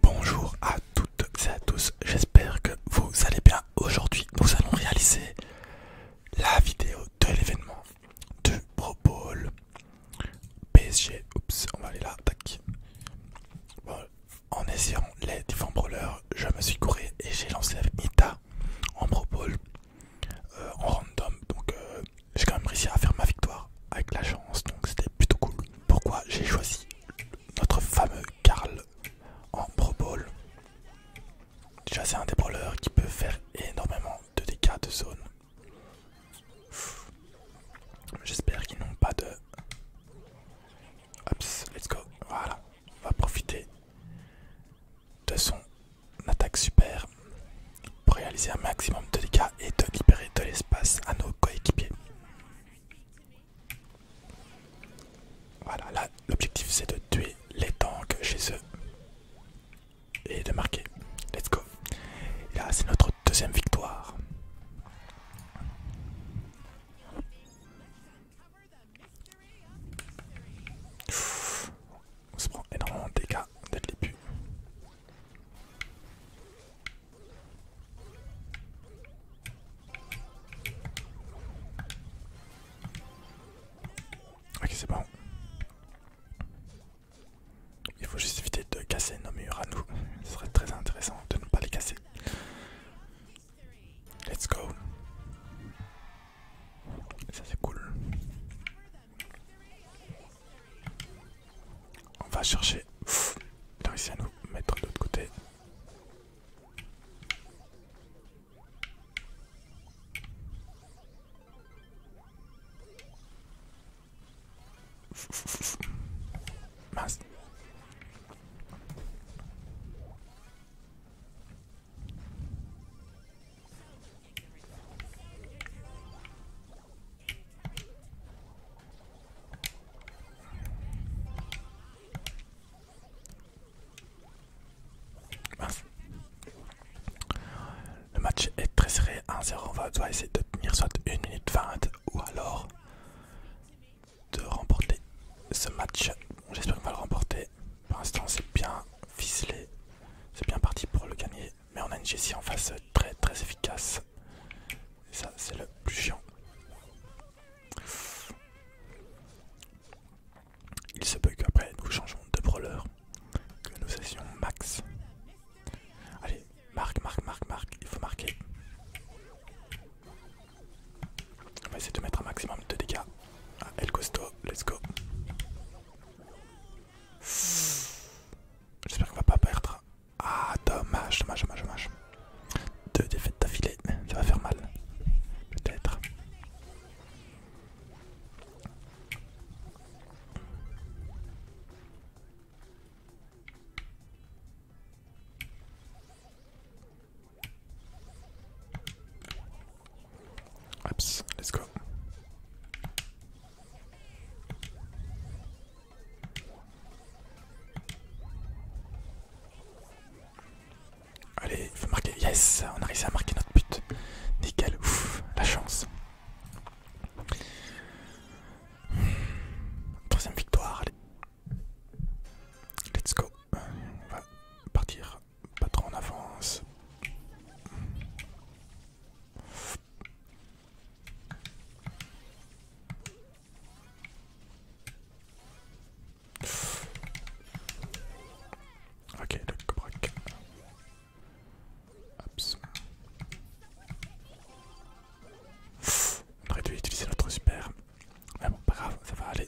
Bonjour à toutes et à tous, j'espère que vous allez bien. Aujourd'hui, nous allons réaliser la vidéo de l'événement du Pro Bowl PSG. Oups, on va aller là, tac. en essayant les différents brawlers, je me suis couré et j'ai lancé avec en Pro Bowl euh, en random. Donc, euh, j'ai quand même réussi à faire ma victoire avec la chance, donc c'était plutôt cool. Pourquoi j'ai choisi notre fameux Karl en Pro Bowl. Déjà, c'est un des qui peut faire énormément de dégâts de zone. J'espère qu'ils n'ont pas de. let's go. Voilà, on va profiter de son attaque super pour réaliser un maximum de dégâts et de libérer de l'espace à nos coéquipiers. Voilà, là l'objectif c'est de tuer les tanks chez eux et de marquer. Let's go. là c'est notre deuxième victoire. on se prend énormément de dégâts dès le début. Ok c'est bon. Il faut juste éviter de casser nos murs à nous. Ce serait très intéressant de ne pas les casser. Let's go. Ça c'est cool. On va chercher. il à nous mettre de l'autre côté. Le match est très serré, 1-0, on va essayer de tenir soit 1 minute 20 ou alors de remporter ce match. J'espère qu'on va le remporter. Pour l'instant c'est bien ficelé, c'est bien parti pour le gagner. Mais on a une Jessie en face très très efficace. Et ça, c'est le plus chiant. Il se peut qu'après nous changeons de brawler, que nous soyons max. Allez, marque, marque, marque, marque, il faut marquer. On va essayer de mettre un maximum de dégâts. à ah, El Costo, let's go. J'espère qu'on va pas perdre. Ah, dommage, dommage, dommage, dommage. Deux défaites d'affilée, ça va faire mal. Peut-être. Oops, let's go. Allez, il faut marquer. Yes, on a réussi à marquer notre but. Nickel, ouf, la chance. Troisième victoire, allez. Let's go. On va partir pas trop en avance. Ok, le break. On aurait dû utiliser notre super. Mais bon, pas grave, ça va aller.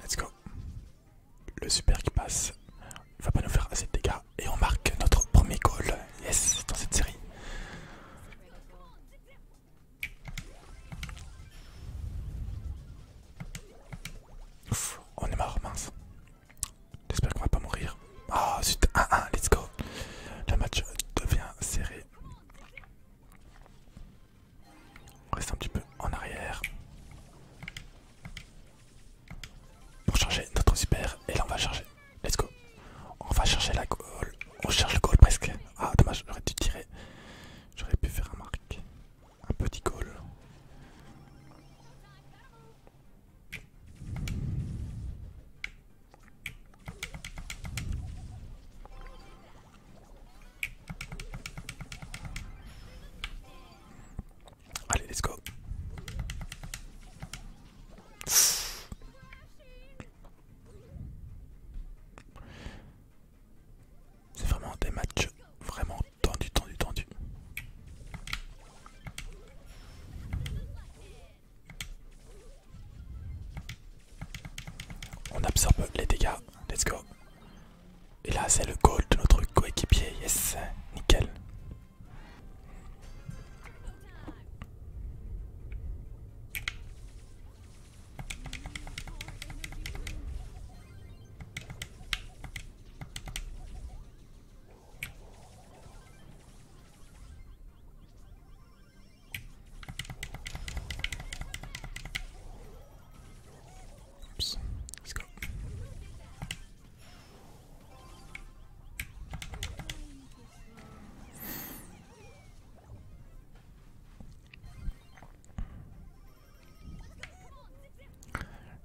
Let's go. Le super qui passe va pas nous faire assez de dégâts et on marque notre premier goal. Yes, dans cette série. on est mort, mince. J'espère qu'on va pas mourir. oh, ah, 1-1, let's go. Le match devient serré. On reste un petit peu en arrière. Pour charger notre super. Et là on va charger. Let's go. On va chercher la goal. On charge le goal presque. Ah dommage, j'aurais dû tirer. J'aurais pu faire un marque. Un petit goal. Allez, let's go. C'est vraiment des matchs vraiment tendus, tendus, tendus. On absorbe les dégâts, let's go. Et là c'est le goal de notre coéquipier, yes, nickel.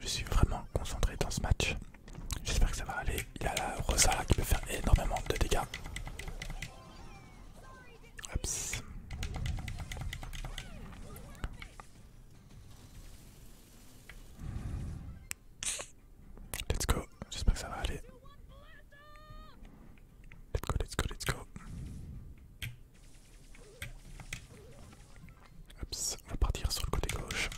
Je suis vraiment concentré dans ce match. J'espère que ça va aller. Il y a la Rosa là, qui peut faire énormément de dégâts. Let's go, j'espère que ça va aller. Let's go, let's go, let's go. on va partir sur le côté gauche.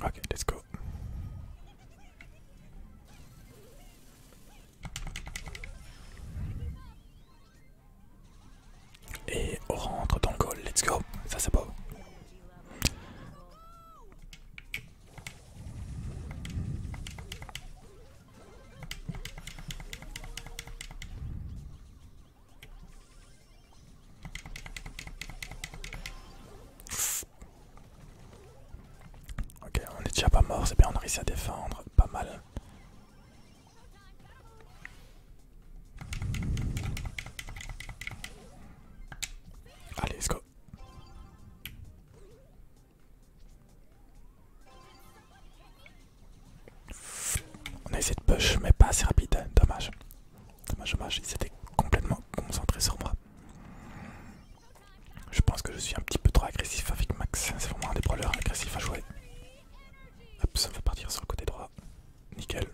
Ok, let's go. Et on rentre dans le goal, let's go, ça c'est beau. Ok, on est déjà pas mort, c'est bien, on a à défendre, pas mal. Allez, let's on a essayé de push, mais pas assez rapide, dommage. Dommage, dommage, Il s'était complètement concentré sur moi. Je pense que je suis un petit peu trop agressif avec Max, c'est vraiment un des brawlers agressifs à jouer. Hop, ça va partir sur le côté droit, nickel.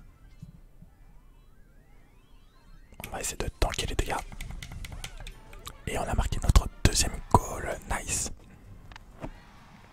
On va essayer de tanker les dégâts. Et on a marqué notre deuxième goal, nice.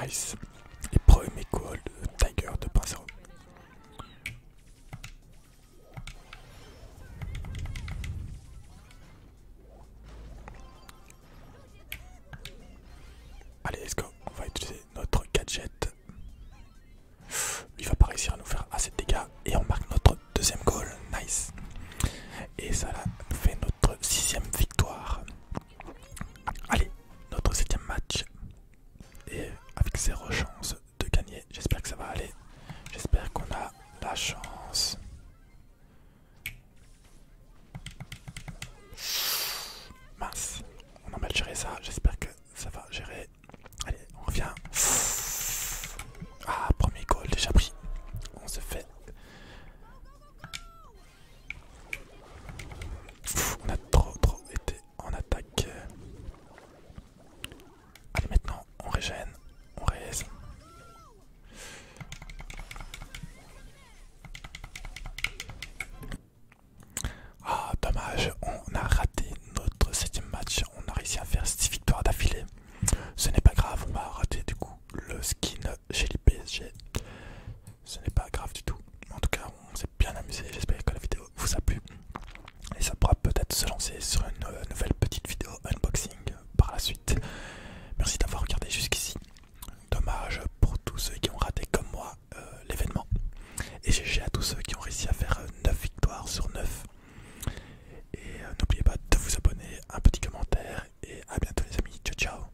Nice. Les premiers Tiger de Tiger 2.0. Allez, let's go. On va utiliser notre gadget. Il va pas réussir à nous faire assez de dégâts. Et on marque notre deuxième goal. Nice. Et ça fait notre sixième victoire. Allez, notre septième match. Et avec zéro chance de gagner. J'espère que ça va aller. J'espère qu'on a la chance. Mince, on a mal géré ça. J'espère que ça va gérer. Allez, on revient. Ah, premier goal déjà pris. On se fait on a trop trop été en attaque. Allez maintenant on régène, on raise. Ah dommage, on a raté notre septième match, on a réussi à faire 6 victoires d'affilée. Ce n'est pas grave, on va rater du coup le skin chez les PSG ce n'est pas grave du tout. En tout cas, on s'est bien amusé. J'espère que la vidéo vous a plu. Et ça pourra peut-être se lancer sur une euh, nouvelle petite vidéo unboxing par la suite. Merci d'avoir regardé jusqu'ici. Dommage pour tous ceux qui ont raté comme moi euh, l'événement. Et GG à tous ceux qui ont réussi à faire 9 euh, victoires sur 9. Et n'oubliez pas de vous abonner, un petit commentaire. Et à bientôt les amis. Ciao ciao